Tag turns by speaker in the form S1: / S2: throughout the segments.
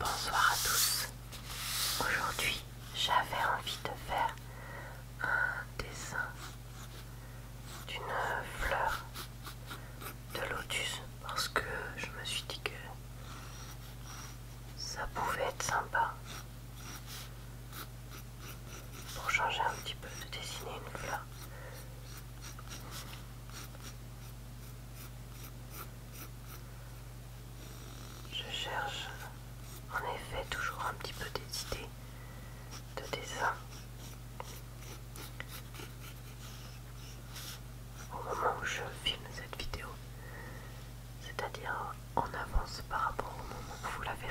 S1: Bonsoir à tous. Aujourd'hui, j'avais envie de faire un dessin d'une fleur de lotus parce que je me suis dit que ça pouvait être sympa pour changer un petit peu de dessiner une fleur. Je cherche en effet toujours un petit peu des idées de dessin. Au moment où je filme cette vidéo, c'est-à-dire en avance par rapport au moment où vous la verrez.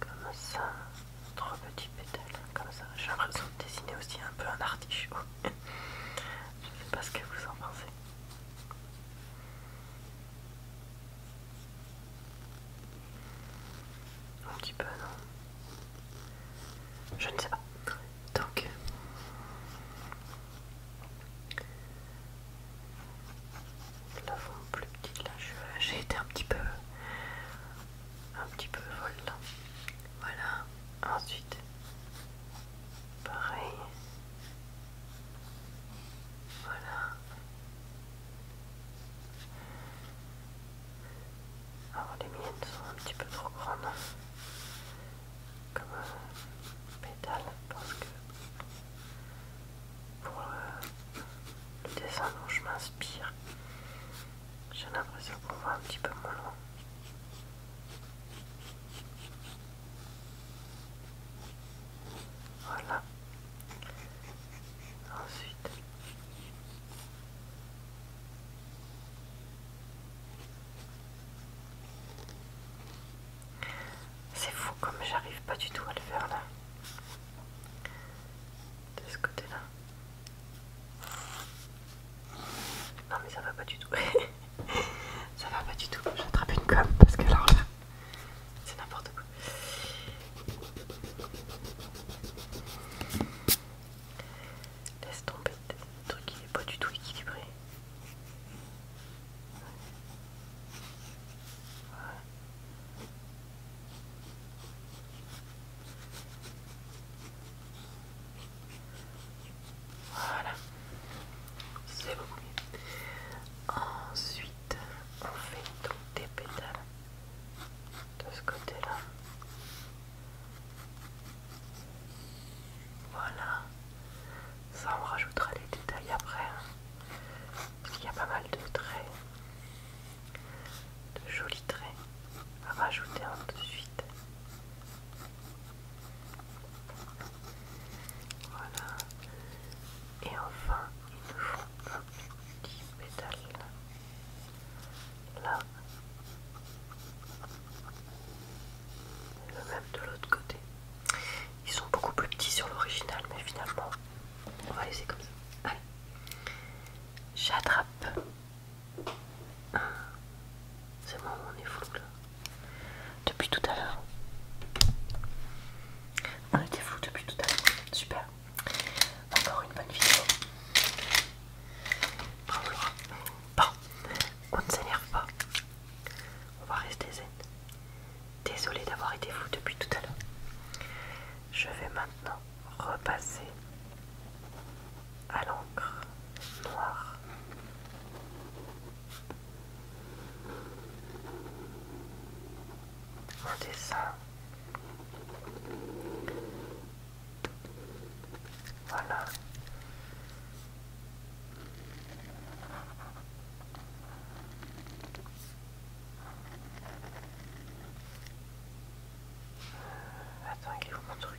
S1: comme ça, trois petits pétales, comme ça. J'ai l'impression de dessiner aussi un peu un artichaut. Je sais pas ce que vous en pensez. Un petit peu, non Je ne sais pas. Donc, la forme plus petite là j'ai été un petit peu un petit peu folle voilà ensuite pareil voilà alors les miennes sont un petit peu trop grandes comme euh, pétales parce que pour le dessin dont je m'inspire. J'ai l'impression qu'on va un petit peu moins loin. Voilà. Ensuite. C'est fou comme j'arrive pas du tout à le faire là. De ce côté là. Non mais ça va pas du tout. ça va pas du tout. J'attrape une com parce que alors là, c'est n'importe quoi. Laisse tomber. Le truc il est pas du tout équilibré. Voilà, c'est beaucoup Ensuite, on fait donc des pétales de ce côté-là. Voilà, ça on rajoutera les détails après. Hein. Il y a pas mal de traits, de jolis traits à rajouter ensuite. Voilà. Et enfin, il nous faut un petit pétale. Là. Le même de l'autre côté. Ils sont beaucoup plus petits sur l'original, mais finalement, on va laisser comme ça. Allez, j'attrape. C'est bon, on est flou là. Depuis tout à l'heure. On était flou depuis tout à l'heure. Super. Encore une bonne vidéo. Bravo Bon, on ne s'énerve pas. On va rester zen. Désolée d'avoir été fou depuis tout à l'heure. Je vais maintenant repasser à l'encre noire. Un dessin. Voilà. Attends, il vous montre mon truc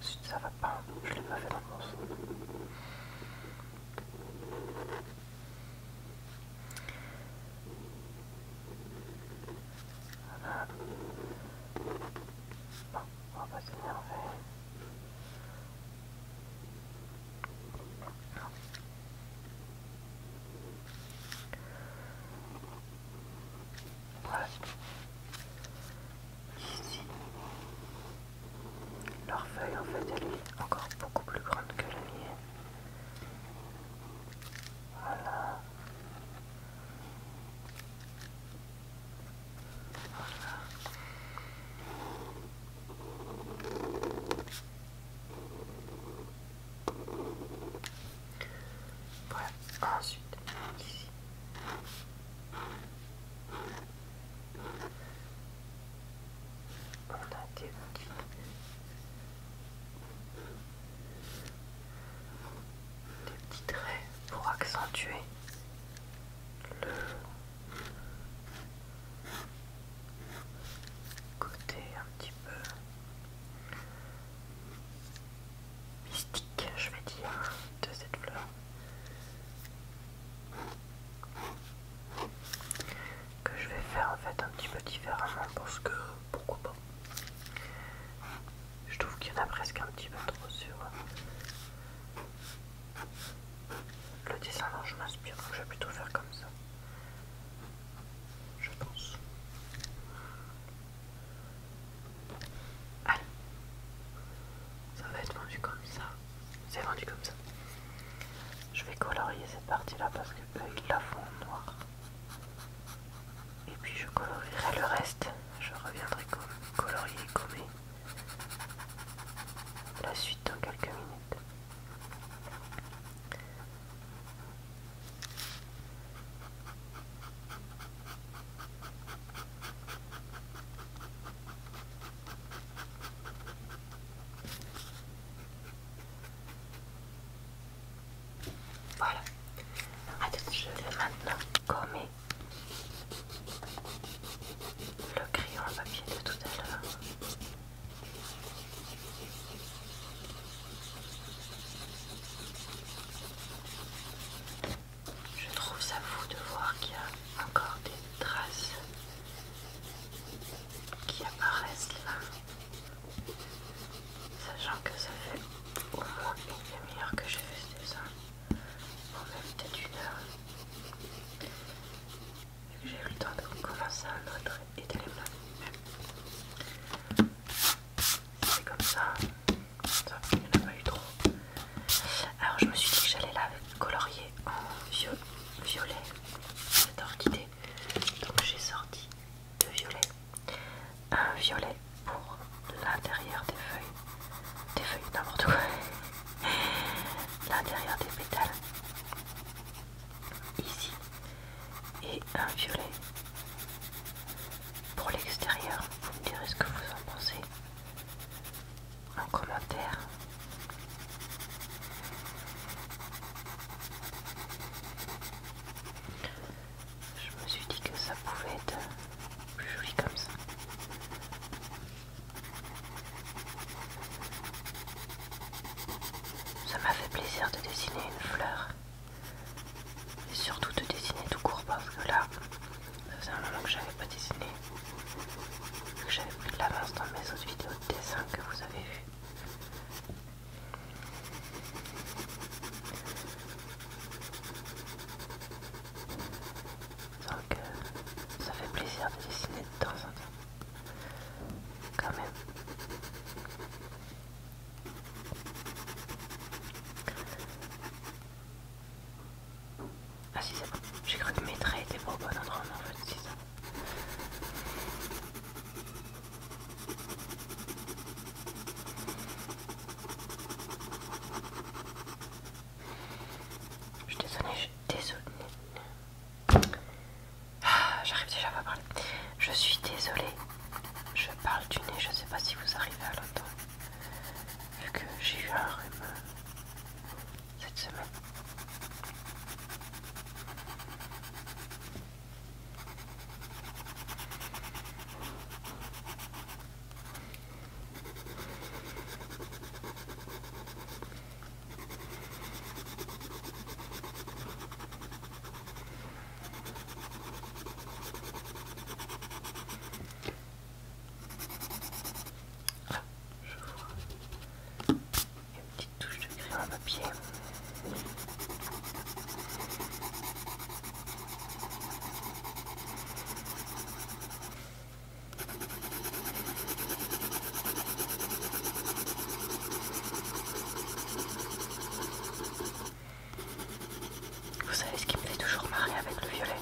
S1: Si ça va pas, je l'ai pas fait dans le bon sens. Voilà. Bon, on va pas s'énerver. Ici, leur feuille en fait elle est encore beaucoup plus grande que la mienne. Voilà. Voilà, ensuite ici. On a Des petits traits pour accentuer le côté un petit peu mystique, je vais dire, de cette fleur. Que je vais faire en fait un petit peu différemment parce que pourquoi pas. Je trouve qu'il y en a presque un petit peu trop sur euh, le dessin dont je m'inspire, donc je vais plutôt faire comme ça. Je pense. Allez, ça va être vendu comme ça. C'est vendu comme ça. Je vais colorier cette partie-là parce que ils la font en noir. Et puis je colorierai le reste. Je reviendrai colorier et gommer la suite dans quelques minutes. Voilà. je vais maintenant gommer le crayon à papier de tout à l'heure. Je trouve ça fou de voir qu'il y a encore des traces qui apparaissent là, sachant que ça fait au moins une demi-heure que j'ai fait ce dessin, ou même peut-être une heure. J'ai eu le temps de commencer un autre et d'aller c'est comme ça, ça il n'y en a pas eu trop. Alors je me suis dit que j'allais la colorier en violet, cette orchidée. Donc j'ai sorti deux violets, un violet pour l'intérieur des feuilles, des feuilles n'importe quoi, l'intérieur des pétales ici et un violet pour l'extérieur. Vous me direz ce que vous en pensez en commentaire. Je me suis dit que ça pouvait être plus joli comme ça. Ça m'a fait plaisir de dessiner une fleur. Et surtout de dessiner tout court parce que là, ça faisait un moment que j'avais pas dessiné. Que j'avais pris de l'avance dans mes autres vidéos de dessin que vous avez vu Donc euh, ça fait plaisir de dessiner de temps en temps. Ah si c'est bon, j'ai cru que mes traits étaient pas au bon endroit, mais en fait c'est ça. Je suis désolée, je suis désolée. Ah, j'arrive déjà à pas parler. Je suis désolée. Je parle du nez, je sais pas si vous arrivez à l'entendre. Vu que j'ai eu un rhume cette semaine. Ah, je vois une petite touche de crayon à papier. Vous savez ce qui me fait toujours marrer avec le violet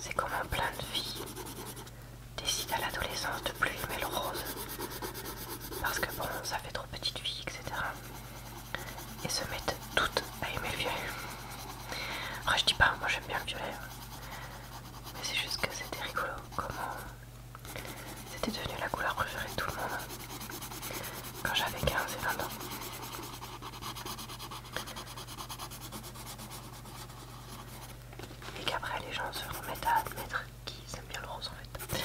S1: C'est comment plein de filles décident à l'adolescence de plus aimer le rose. Parce que bon, ça fait trop petite fille, etc. Et se mettent toutes à aimer le violet. Après, je dis pas, moi j'aime bien le violet. Hein. Mais c'est juste que c'était rigolo c'était devenu la couleur préférée de tout le monde quand j'avais 15 et 20 ans. Et qu'après les gens se remettent à admettre qu'ils aiment bien le rose en fait.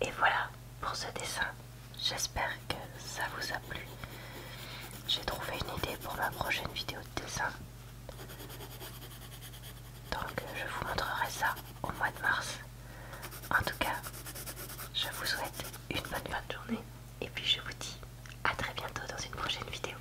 S1: Et voilà pour ce dessin. J'espère que ça vous a plu. J'ai trouvé une idée pour ma prochaine vidéo de dessin. Donc je vous montrerai ça au mois de mars. En tout cas, je vous souhaite une bonne fin de journée. Et puis je vous dis à très bientôt dans une prochaine vidéo.